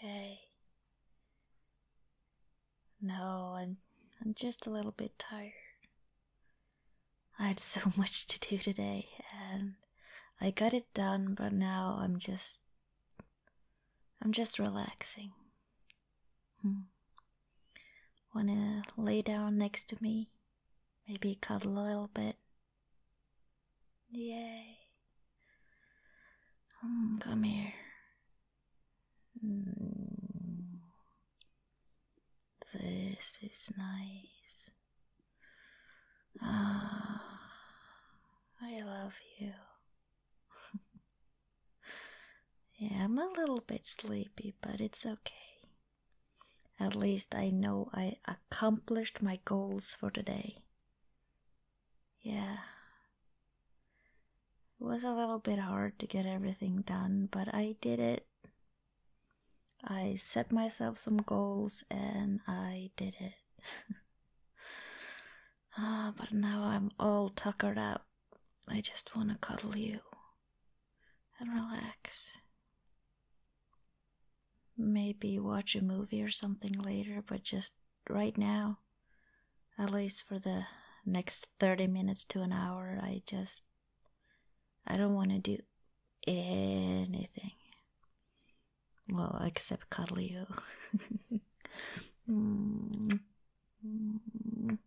Hey. No, I'm I'm just a little bit tired. I had so much to do today and I got it done, but now I'm just I'm just relaxing. Hmm. Wanna lay down next to me? Maybe cuddle a little bit? Yay. Hmm, come here. Hmm. This is nice. Ah, I love you. yeah, I'm a little bit sleepy, but it's okay. At least I know I accomplished my goals for the day. Yeah. It was a little bit hard to get everything done, but I did it. I set myself some goals and I did it. oh, but now I'm all tuckered out. I just want to cuddle you and relax Maybe watch a movie or something later, but just right now, at least for the next 30 minutes to an hour, I just. I don't want to do anything. Well, except cuddle you. Mm. Mm.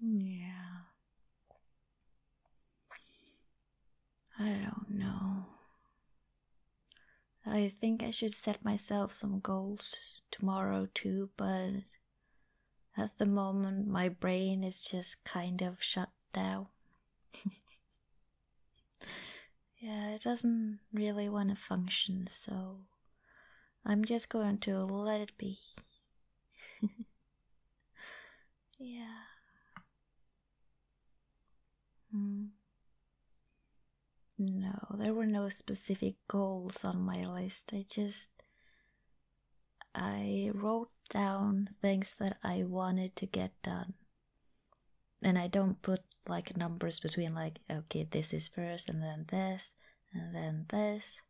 Yeah. I don't know. I think I should set myself some goals tomorrow too, but at the moment my brain is just kind of shut down. yeah, it doesn't really want to function, so I'm just going to let it be. yeah. Mm. No, there were no specific goals on my list. I just. I wrote down things that I wanted to get done. And I don't put like numbers between, like, okay, this is first, and then this, and then this.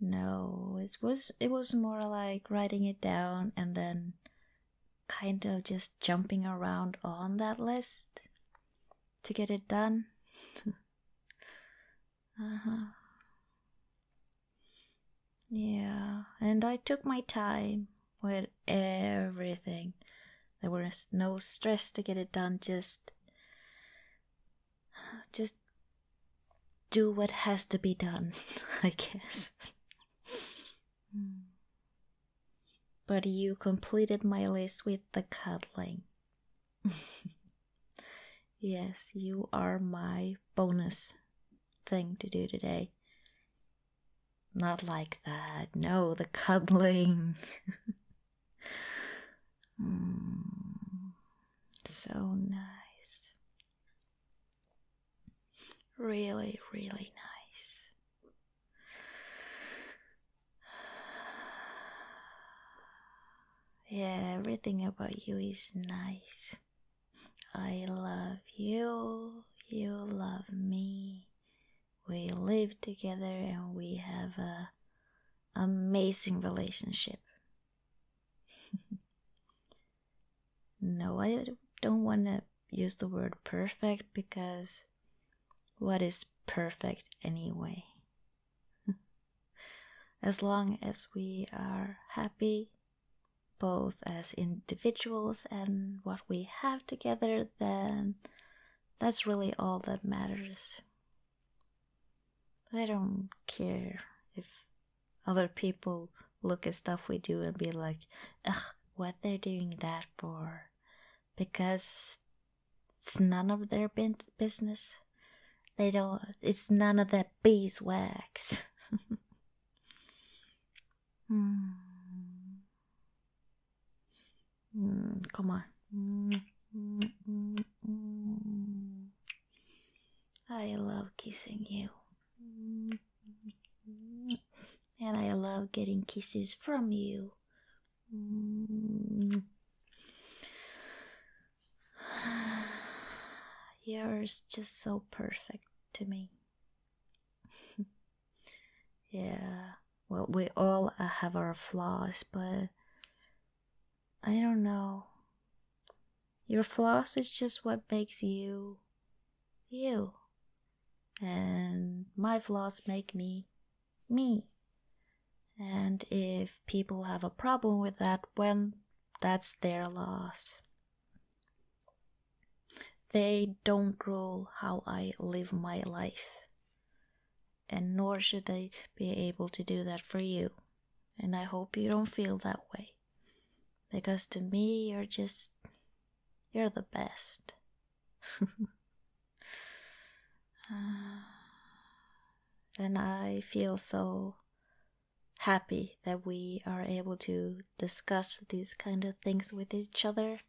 No, it was it was more like writing it down and then kind of just jumping around on that list to get it done. uh-huh. Yeah, and I took my time with everything. There was no stress to get it done, just just do what has to be done, I guess. but you completed my list with the cuddling. yes, you are my bonus thing to do today. Not like that. No, the cuddling. Mm, so nice. Really, really nice. Yeah, everything about you is nice. I love you, you love me. We live together and we have a amazing relationship. no, I don't want to use the word perfect because what is perfect anyway? as long as we are happy, both as individuals and what we have together, then that's really all that matters. I don't care if other people look at stuff we do and be like, ugh, what they're doing that for. Because it's none of their business. They don't, it's none of that beeswax. Hmm. Mm, come on. I love kissing you. And I love getting kisses from you. You're just so perfect to me. yeah. Well, we all uh, have our flaws, but I don't know. Your flaws is just what makes you you. And my flaws make me me. And if people have a problem with that, when that's their loss. They don't rule how I live my life and nor should I be able to do that for you. And I hope you don't feel that way. Because to me, you're just. you're the best. and I feel so happy that we are able to discuss these kind of things with each other.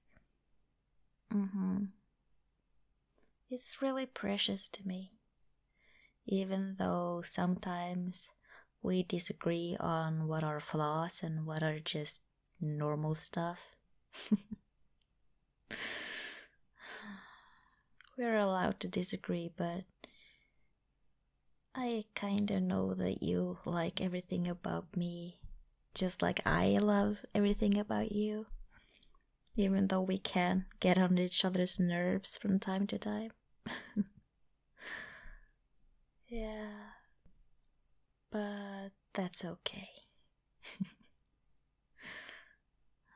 Mm-hmm. It's really precious to me, even though sometimes we disagree on what are flaws and what are just normal stuff. We're allowed to disagree, but I kinda know that you like everything about me just like I love everything about you, even though we can get on each other's nerves from time to time. yeah, but that's okay.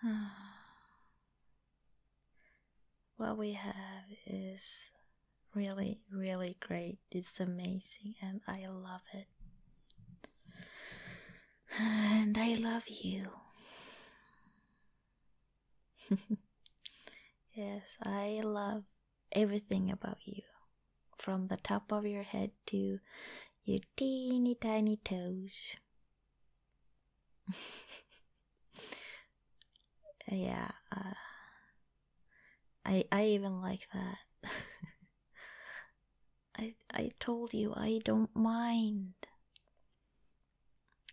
what we have is really, really great. It's amazing, and I love it. And I love you. yes, I love everything about you. From the top of your head to your teeny tiny toes. yeah, uh, I I even like that. I I told you I don't mind.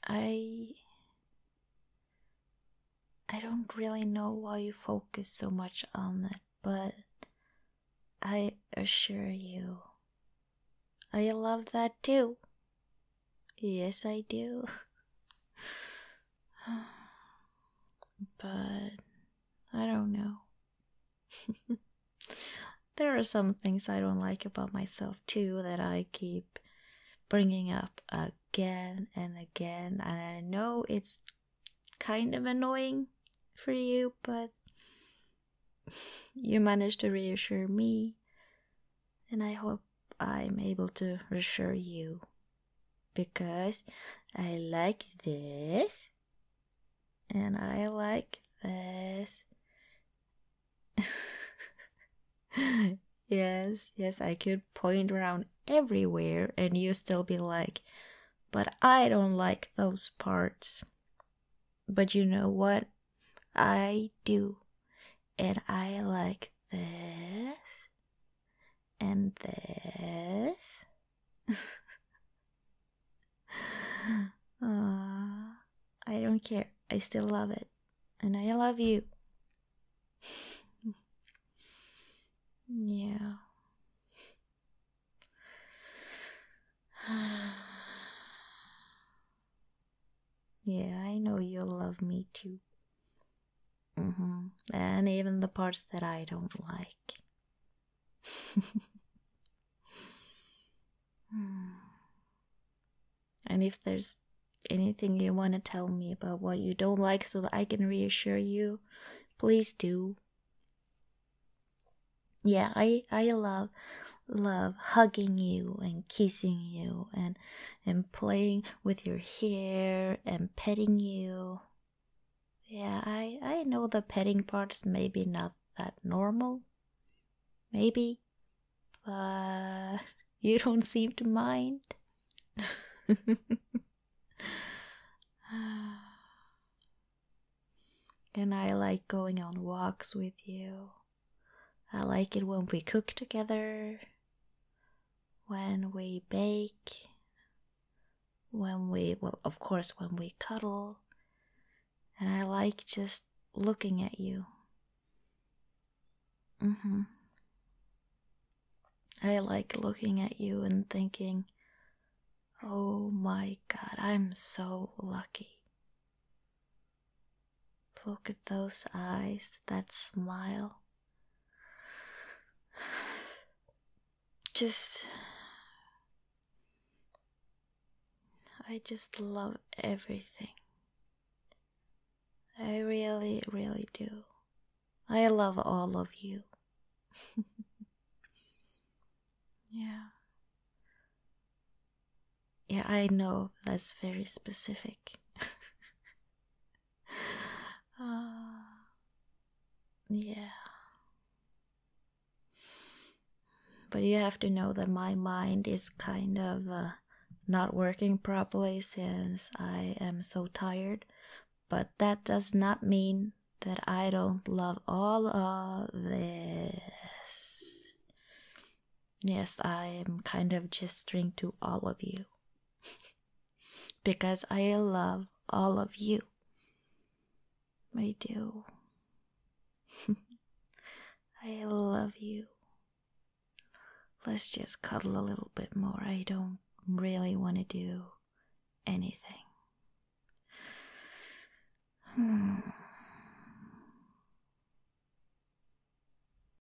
I I don't really know why you focus so much on it, but I assure you I love that too. Yes, I do. but I don't know. there are some things I don't like about myself too that I keep bringing up again and again, and I know it's kind of annoying for you, but you managed to reassure me, and I hope I'm able to reassure you because I like this and I like this. yes, yes, I could point around everywhere and you still be like, but I don't like those parts. But you know what? I do. And I like this and this. uh, I don't care. I still love it. And I love you. yeah. yeah, I know you'll love me too. Mm-hmm. And even the parts that I don't like. Hmm. and if there's anything you want to tell me about what you don't like so that I can reassure you, please do. Yeah, I I love love hugging you and kissing you and and playing with your hair and petting you. Yeah, I I know the petting part is maybe not that normal. Maybe, but you don't seem to mind. and I like going on walks with you. I like it when we cook together when we bake, when we, well, of course, when we cuddle. And I like just looking at you. Mm hmm. I like looking at you and thinking, oh my god, I'm so lucky. Look at those eyes, that smile. Just. I just love everything. I really, really do. I love all of you. yeah. Yeah, I know that's very specific. uh, yeah. But you have to know that my mind is kind of uh, not working properly since I am so tired. But that does not mean that I don't love all of this. Yes, I am kind of gesturing to all of you because I love all of you. I do. I love you. Let's just cuddle a little bit more. I don't really want to do anything. Hmm.